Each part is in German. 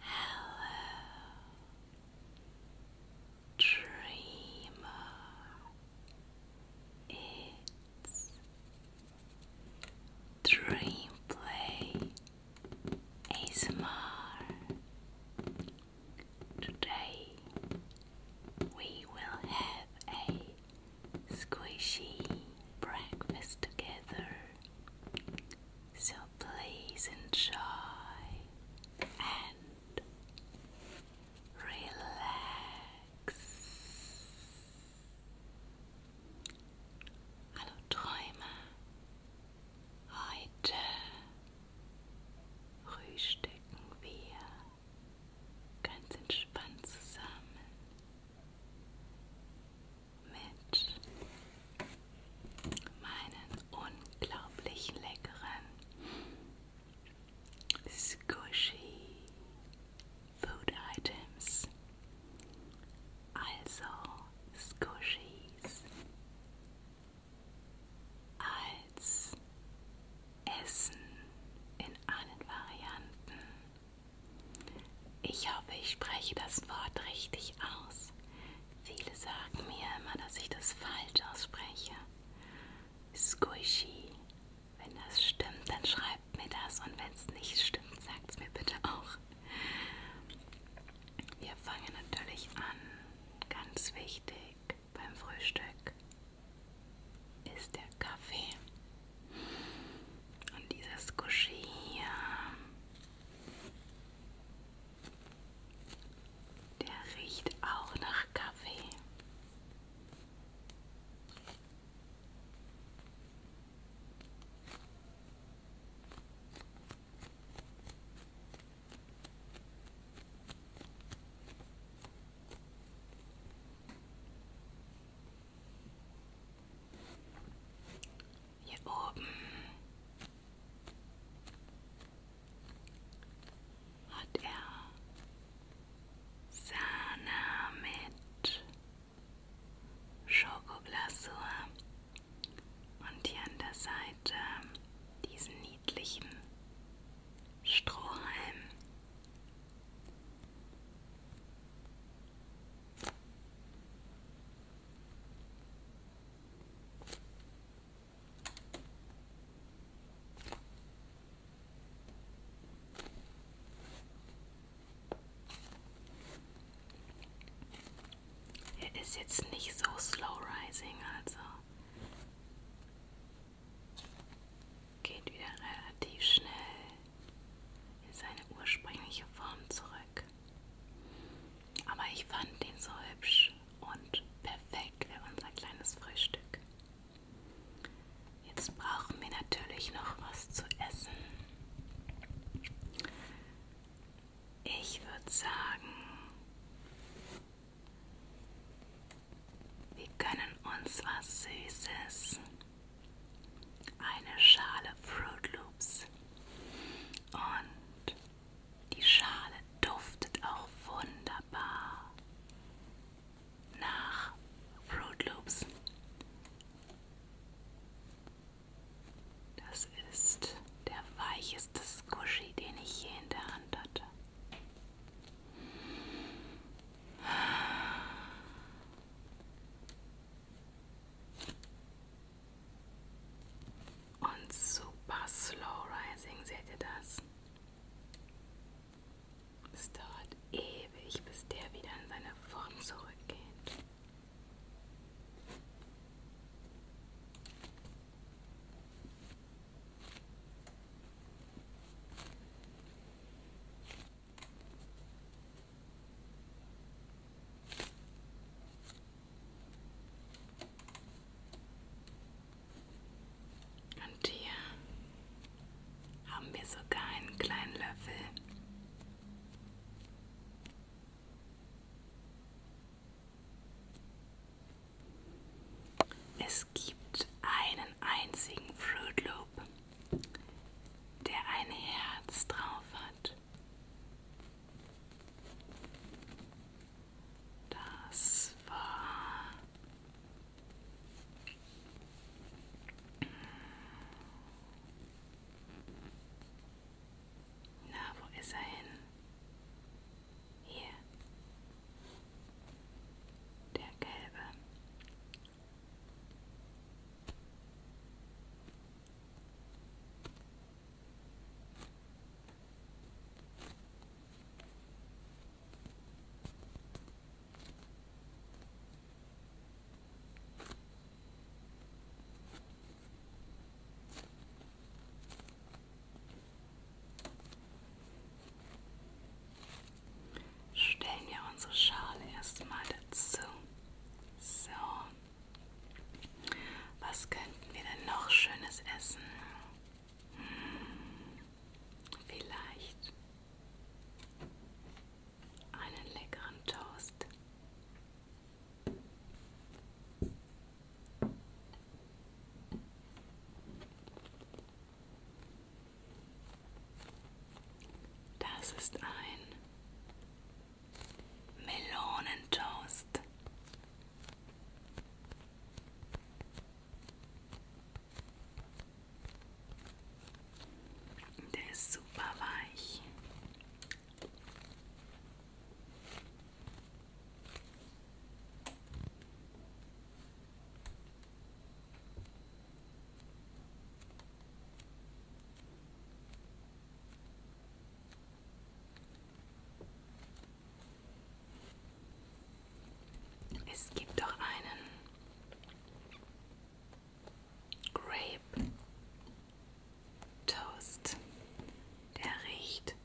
Hello, dreamer. It's Dream Play Today we will have a squishy breakfast together. So please enjoy and relax. Hallo Träume. Heute frühstücken wir ganz entspannt zusammen mit meinen unglaublich leckeren Squishy Food Items. Also Squishies als Essen in allen Varianten ich hoffe, ich spreche das Wort richtig aus. Viele sagen mir immer, dass ich das falsch ausspreche. Squishy. Wenn das stimmt, dann schreibt mir das und wenn es nicht stimmt, sagt es mir bitte auch. Wir fangen natürlich an, ganz wichtig beim Frühstück ist der Kaffee. Und dieses Guschi hier, der riecht auch nach Kaffee. Hier oben hat er Sahne mit Schokoglasur und hier an der Seite diesen niedlichen Strohhalm. Er ist jetzt nicht so slow rising, also geht wieder relativ schnell in seine ursprüngliche Form zurück. Aber ich fand ihn so hübsch und perfekt für unser kleines Frühstück. Jetzt brauchen wir natürlich noch was zu essen. Ich würde sagen, wir können uns was Süßes eine Schale Fruit Loops und die Schale duftet auch wunderbar nach Fruit Loops. Das ist der weicheste Squishy, den ich je in der Hand hatte. Und super slow rising, seht ihr das? Es dauert ewig, bis der wieder in seine Form zurückgeht. Und hier haben wir sogar einen kleinen Löffel. Es gibt einen einzigen Fruit Loop, der ein Herz drauf hat. Das war na, wo ist er hin? Hier. Der gelbe. Stellen wir unsere Schale erstmal dazu. So. Was könnten wir denn noch Schönes essen? Hm, vielleicht einen leckeren Toast. Das ist ein Melonentoast. Der ist super weich. Es gibt doch einen Grape Toast, der riecht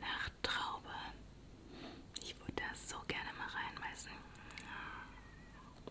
nach Traube. Ich würde da so gerne mal reinbeißen.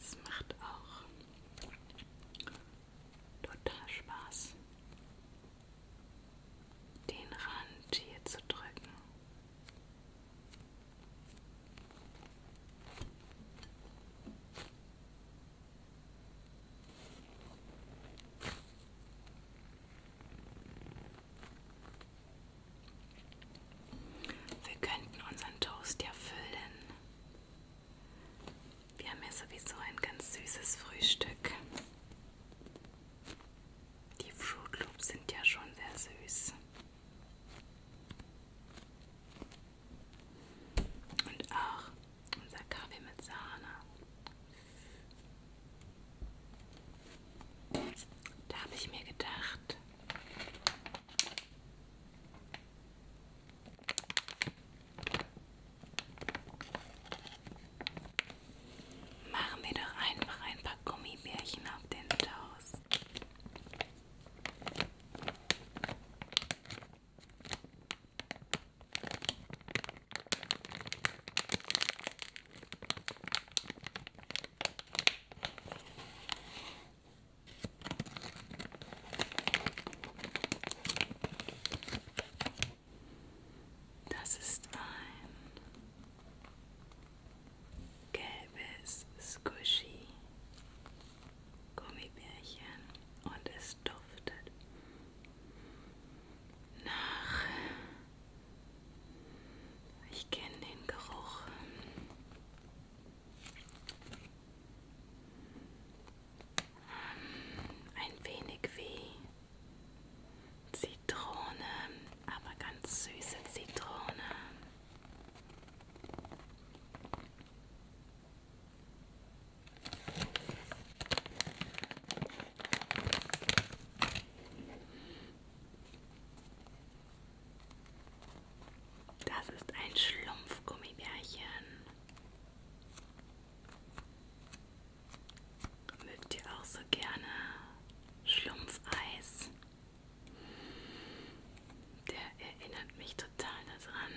Es macht auch total Spaß, den Rand hier zu drücken. Wir könnten unseren Toast ja füllen. Wir haben ja sowieso ein ganz süßes Frühstück. Die Fruit Loops sind ja schon sehr süß. Und auch unser Kaffee mit Sahne. Da habe ich mir gedacht, machen wir doch einfach ein paar Gummibärchen auf den Toast. Das ist ein gelbes Squishy Gummibärchen und es duftet nach ich kenne den Geruch. Ähm, ein wenig wie Zitrone, aber ganz süße Zitrone. Das ist ein Schlumpfgummibärchen. Mögt ihr auch so gerne Schlumpfeis? Der erinnert mich total daran.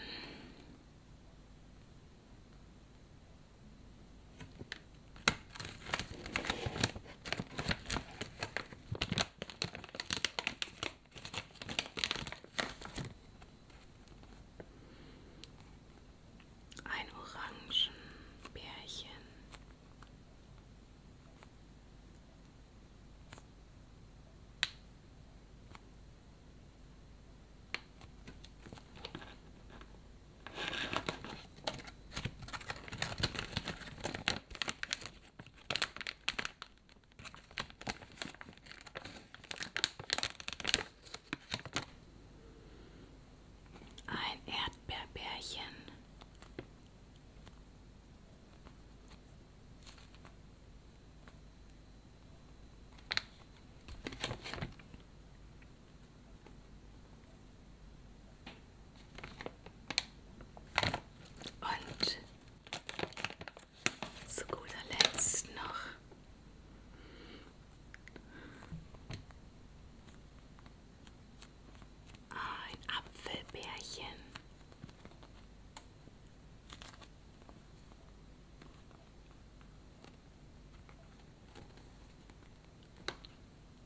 Ein Orangenbärchen. Ein Erdbeerbärchen. Und zu guter Letzt noch ein Apfelbärchen.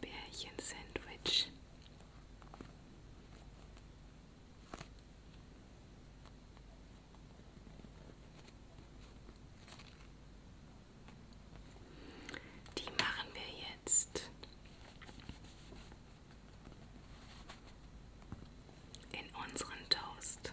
Bärchen-Sandwich. Die machen wir jetzt in unseren Toast.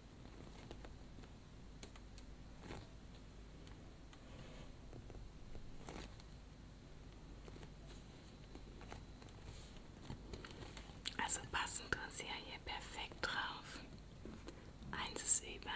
Also passen uns ja hier perfekt drauf. Eins ist über.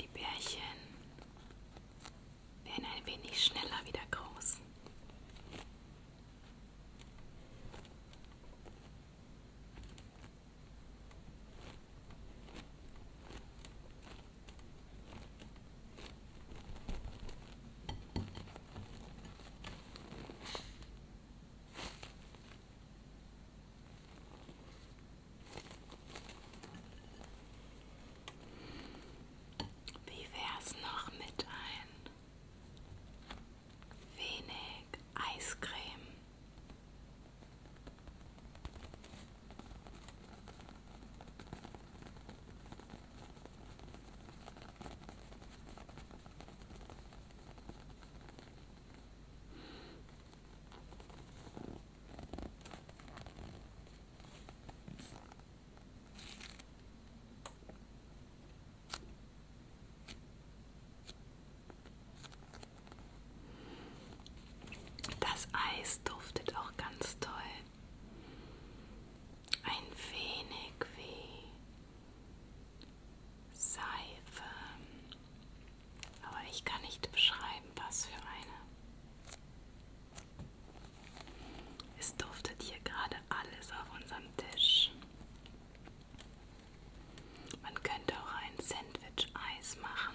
Die Bärchen werden ein wenig schneller wieder groß. Wie wär's noch mit ein wenig Eiscreme? Das Eis duftet auch ganz toll. Ein wenig wie Seife. Aber ich kann nicht beschreiben, was für eine. Es duftet hier gerade alles auf unserem Tisch. Man könnte auch ein Sandwich-Eis machen.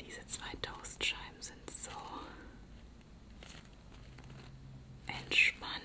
Diese zwei Toastscheiben sind so entspannend.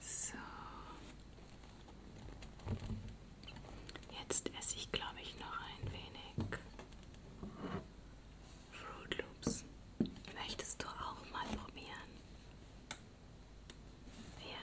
So. Jetzt esse ich, glaube ich, noch ein wenig Fruit Loops. Möchtest du auch mal probieren? Ja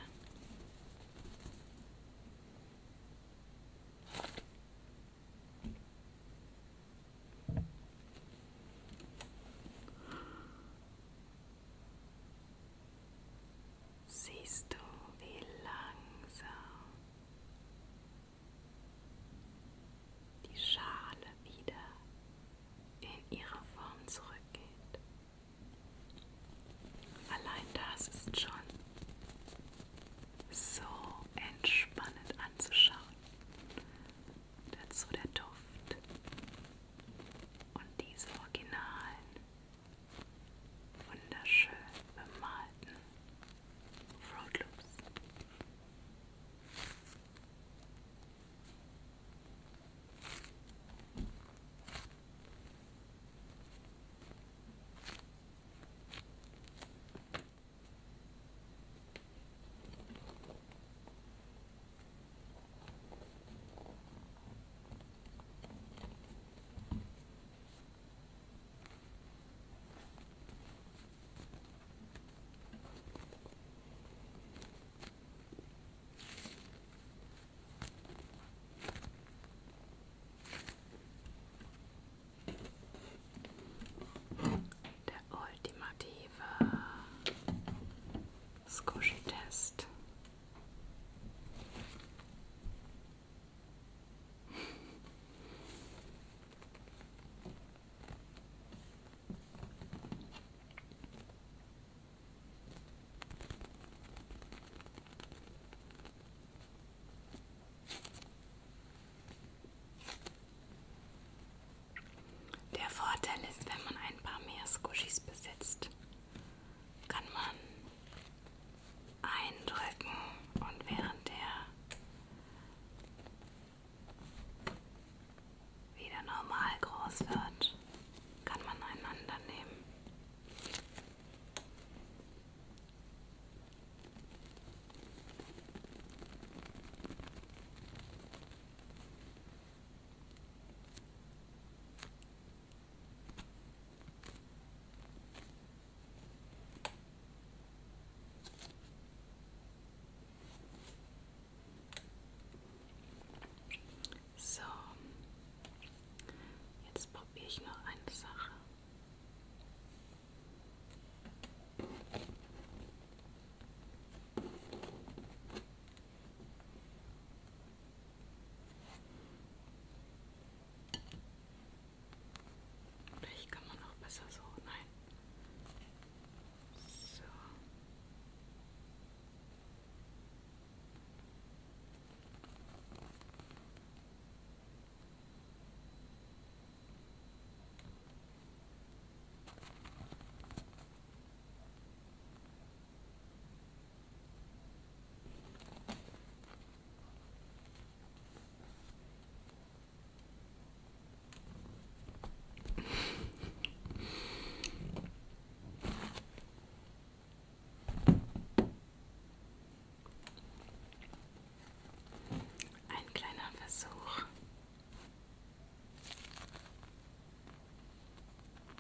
siehst du, wie langsam die Schale wieder in ihre Form zurückgeht. Allein das ist schon so entspannend anzuschauen. Dazu der Duft und diese originalen, wunderschön bemalten Fruit Loops. Der ultimative Squishy-Test. Der Vorteil ist, wenn man ein paar mehr Squishies besitzt, kann man eindrücken und während der wieder normal groß wird, kann man einander nehmen. So, jetzt probiere ich noch eine Sache. Vielleicht kann man auch besser so, nein. So. Ein kleiner Versuch.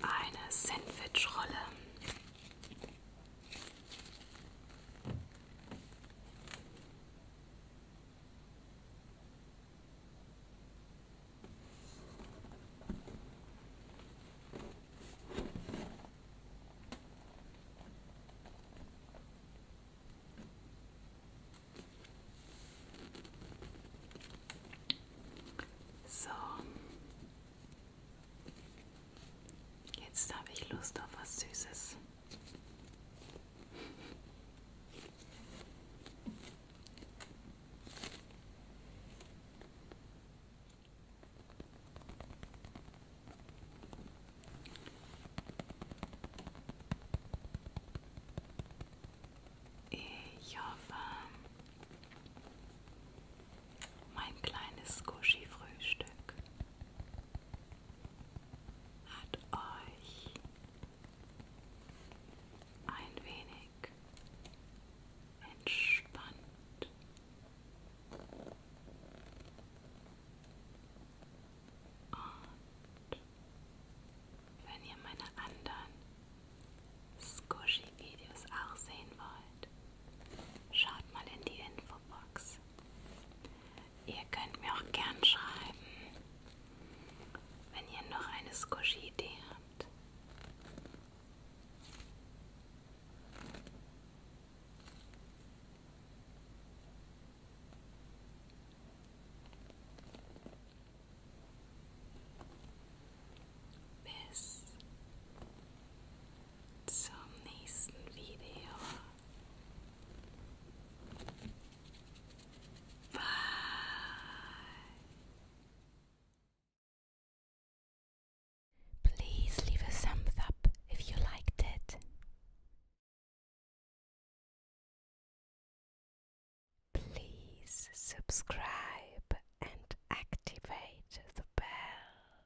Eine Sandwichrolle. So. Jetzt habe ich Lust auf was Süßes. Ich hoffe, mein kleines Squishy-Frühstück hat euch ein wenig entspannt und wenn ihr meine anderen Squishy-Videos auch sehen wollt, schaut mal in die Infobox. Ihr könnt mir auch gern schreiben, wenn ihr noch eine Squishy-Idee habt. Bis zum nächsten Video. Bye. Please leave a thumbs up if you liked it. Please subscribe and activate the bell.